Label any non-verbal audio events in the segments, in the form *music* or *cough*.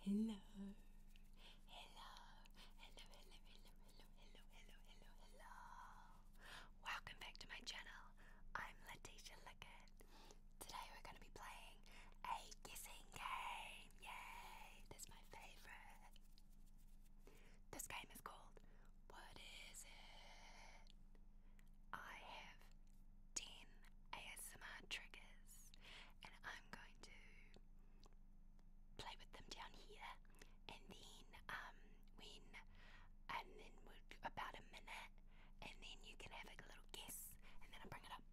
Hello. Hello. Hello, hello, hello, hello, hello, hello, hello, hello. Welcome back to my channel. I'm Letitia Lickett. Today we're going to be playing a guessing game. Yay! That's my favorite. This game is called what is it? I have 10 ASMR triggers and I'm going to play with them down here and then um when and then we'll about a minute and then you can have a little guess and then i bring it up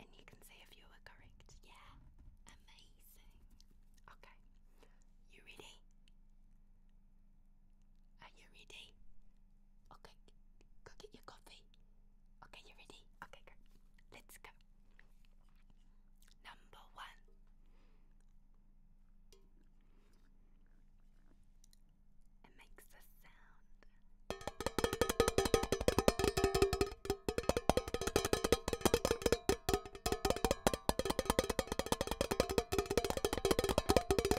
and you can see if you were correct. Yeah. Amazing. Okay. You ready? Are you ready? Okay, go get your coffee. Okay, you ready? Okay, great. Let's go. Number one. It makes a sound.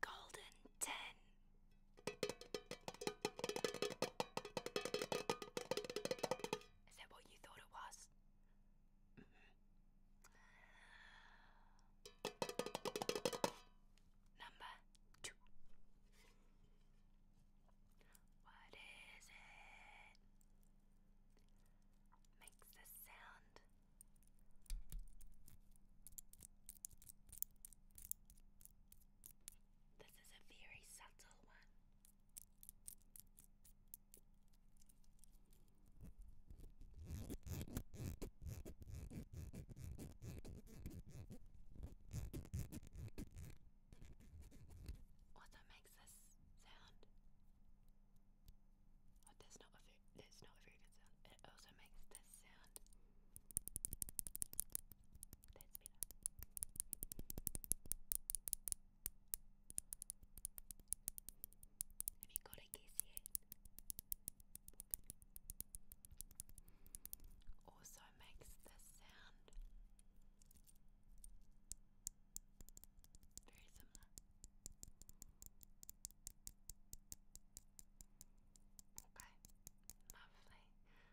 golden 10. Is that what you thought it was? Mm-hmm. Number two. What is it? Makes a sound. This is a very subtle one. Also makes this sound. Oh, that's not a very, that's not a very good sound. It also makes this sound. Have you got a guess yet? Also makes this sound very similar. Okay, lovely. Have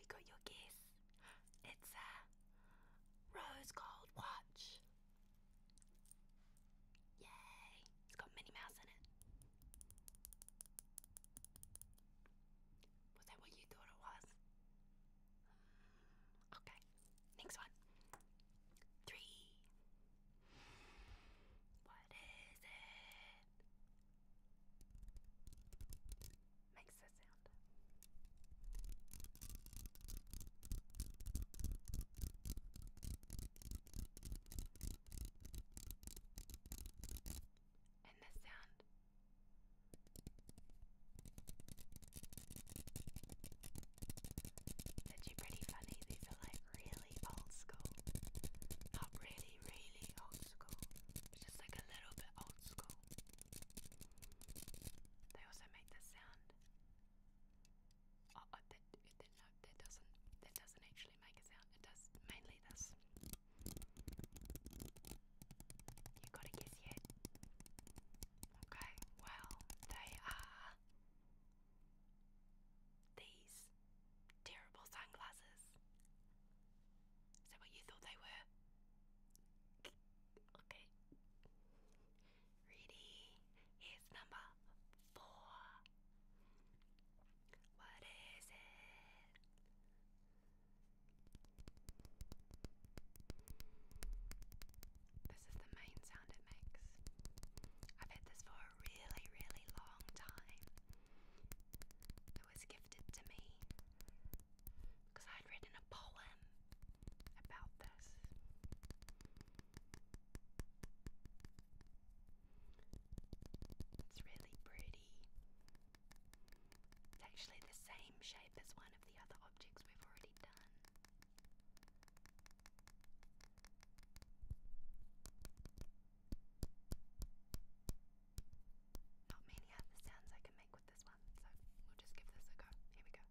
you got your guess? It's a rose gold watch. Yay! It's got Minnie Mouse in it. Was that what you thought it was? Mm, okay, next one. Three. What is it? head makes a sound. And this sound that you pretty funny. These are like really really old school. Not really, really old school. just like a little bit old school. They also make this sound. Oh, oh that, that, no, that doesn't. That doesn't actually make a sound. It does mainly this. You got a guess yet? Okay. Well, they are these terrible sunglasses. Is that what you thought they were? Okay. Ready? Here's number four. What is it? This is the main sound it makes. I've had this for a really, really long time. It was gifted to me because I'd written a poem about this. It's really pretty. It's actually the same shape as one of the other objects we've already done. Not many other sounds I can make with this one, so we'll just give this a go. Here we go.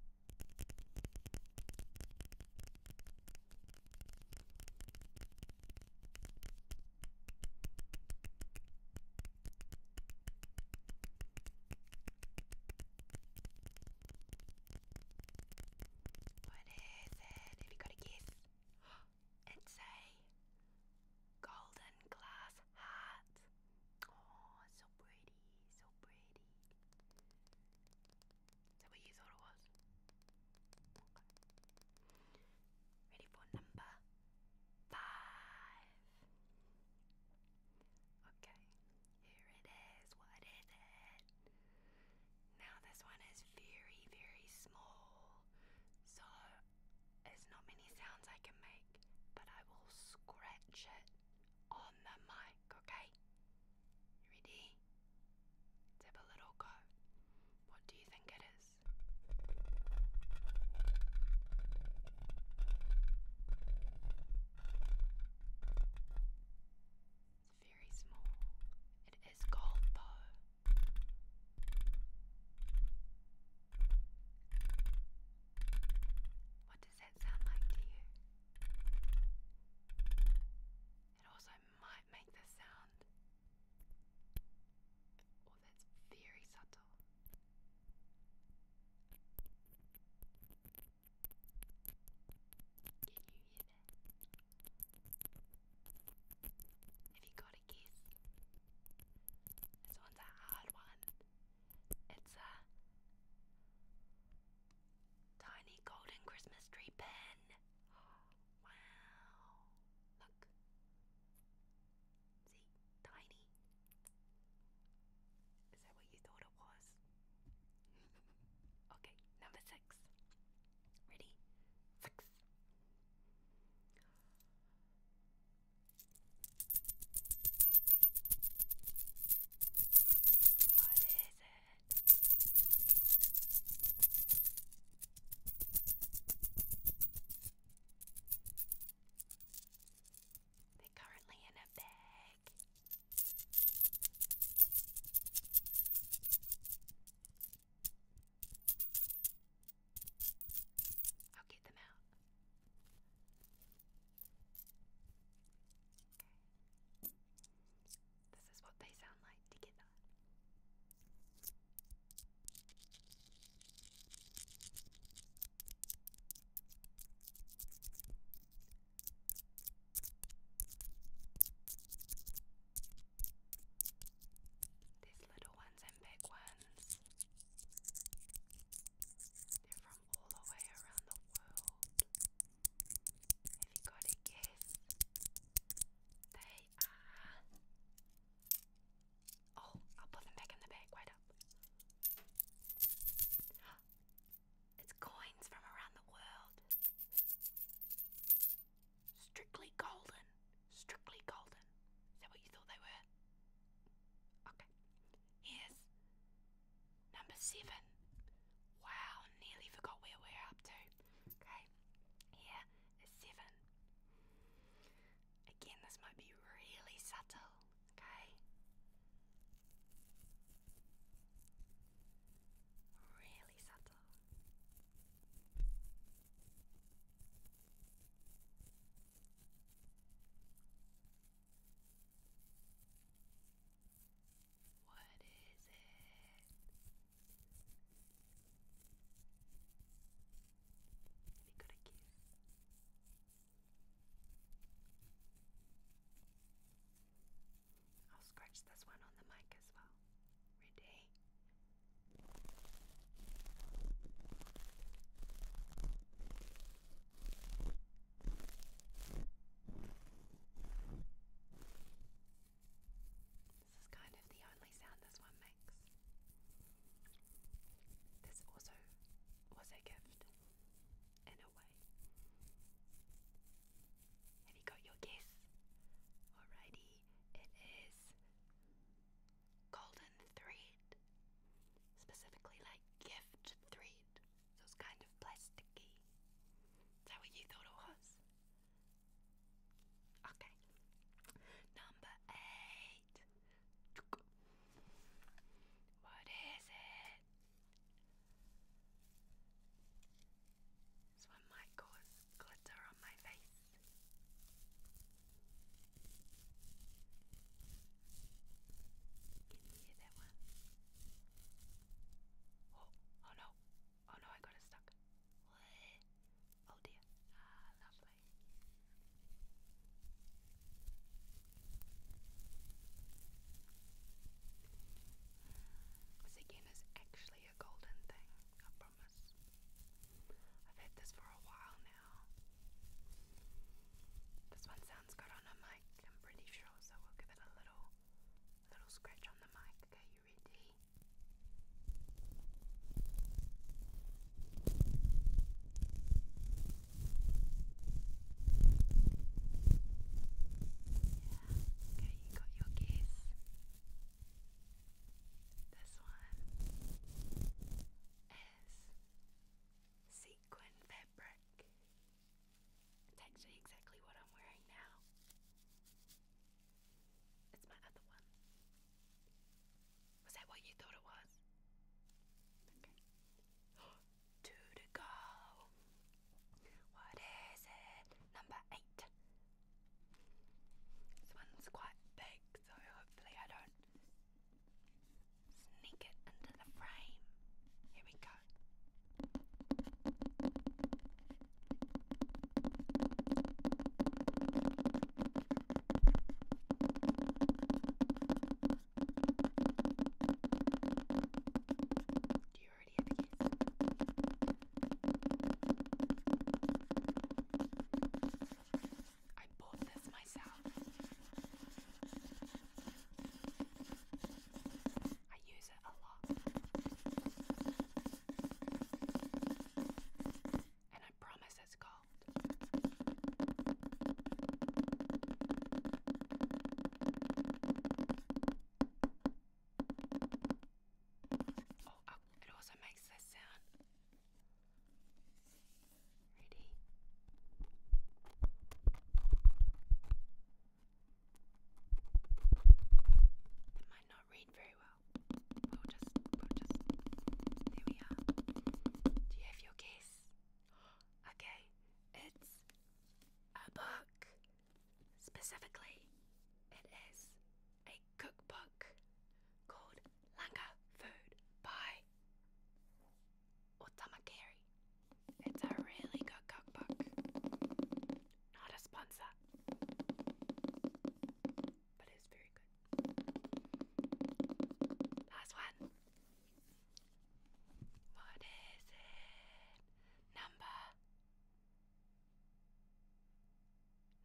What is it? Have you got a guess? It's a golden glass heart. Oh, so pretty, so pretty. Is that what you thought it was? Ready for number five. Okay, here it is. What is it? Now, this one is very, very small, so there's not many sounds I can make, but I will scratch it on the mic, okay? ready? let a little go. What do you think it is? very small. It is called Poe. What does that sound like to you? It also might make this sound. Oh, that's very subtle. Can you hear that? Have you got a guess? This one's a hard one. It's a tiny golden Christmas tree pin. *gasps* Wow. Look. See? Tiny. Is that what you thought it was? okay, number six. Ready? Six. What is it? They're currently in a bed. I'll get them out. Okay. This is what they sound like together. These little ones and big ones. They're from all the way around the world. Have you got a guess? They are. Oh, I'll put them back in the bag. Wait up. It's coins from around the world. Strictly golden. Strictly golden. Is that what you thought they were? Okay. Here's number seven. Wow, nearly forgot where we're up to. Okay, here is seven. Again, this might be really subtle. Okay, Really subtle. What is it? Have you got a kiss? I'll scratch this one on the mic as well. Ready? This is kind of the only sound this one makes. This also was a gift, have you got your guess? Alrighty, it is golden thread, specifically like gift thread. So it's kind of plasticky. Is that what you thought it was? Okay. Number eight. What is it? This one might cause glitter on my face. Can you hear that one? Oh, oh no. Oh no, I got it stuck. Oh dear. Ah, lovely. This is actually a golden thing, I promise. I've had this for a while now. This one sounds good on a mic, I'm pretty sure, so we'll give it a little little scratch on the mic. Okay, you ready? okay, you got your guess. This one is sequin fabric. exactly what I'm wearing now. It's my other one. Was that what you thought it was? two to go. What is it? Number eight. This one's quite big, so hopefully I don't sneak it into the frame. Here we go. Do you already have a kiss? I bought this myself. I use it a lot. And I promise it's gold. Oh, oh, it also makes this sound. Ready? That might not read very well. We'll just, we'll just. There we are. Do you have your guess? okay, it's a book. Specifically, it is a cookbook called Langa Food by Otamakeri. It's a really good cookbook. Not a sponsor, but it's very good. Last one. What is it? Number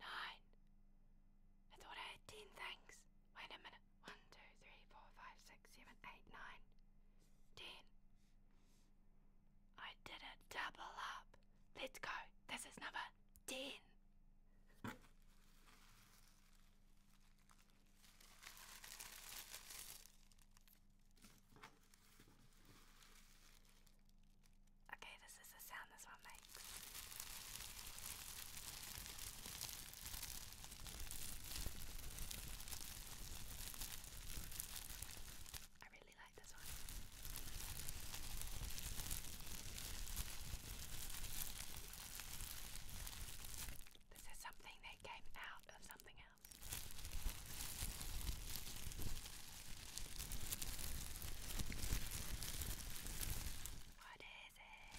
nine. I thought I had ten things. Wait a minute. One, two, three, four, five, six, seven, eight, nine, ten. I did a double up. Let's go. This is number ten. Okay, this is the sound this one makes. I really like this one. This is something it came out of something else. What is it?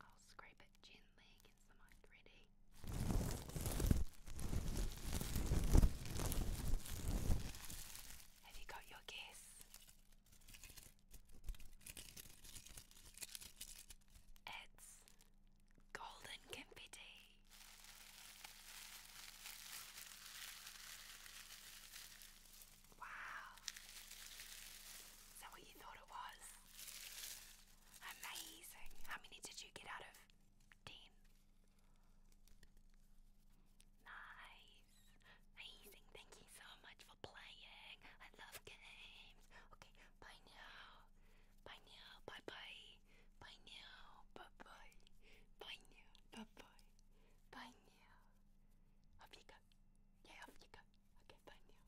I'll scrape it gently minds, the ready. Have you got your guess? It's golden confetti. Wow. Is what you thought it was? Amazing. How many did you get out of 15. Nice. Amazing. Thank you so much for playing. I love games. Okay, bye now. Bye now. Bye bye. Bye now. Bye bye. Bye now. Bye bye. Bye now. Off you go. Yeah, off you go. Okay, bye now.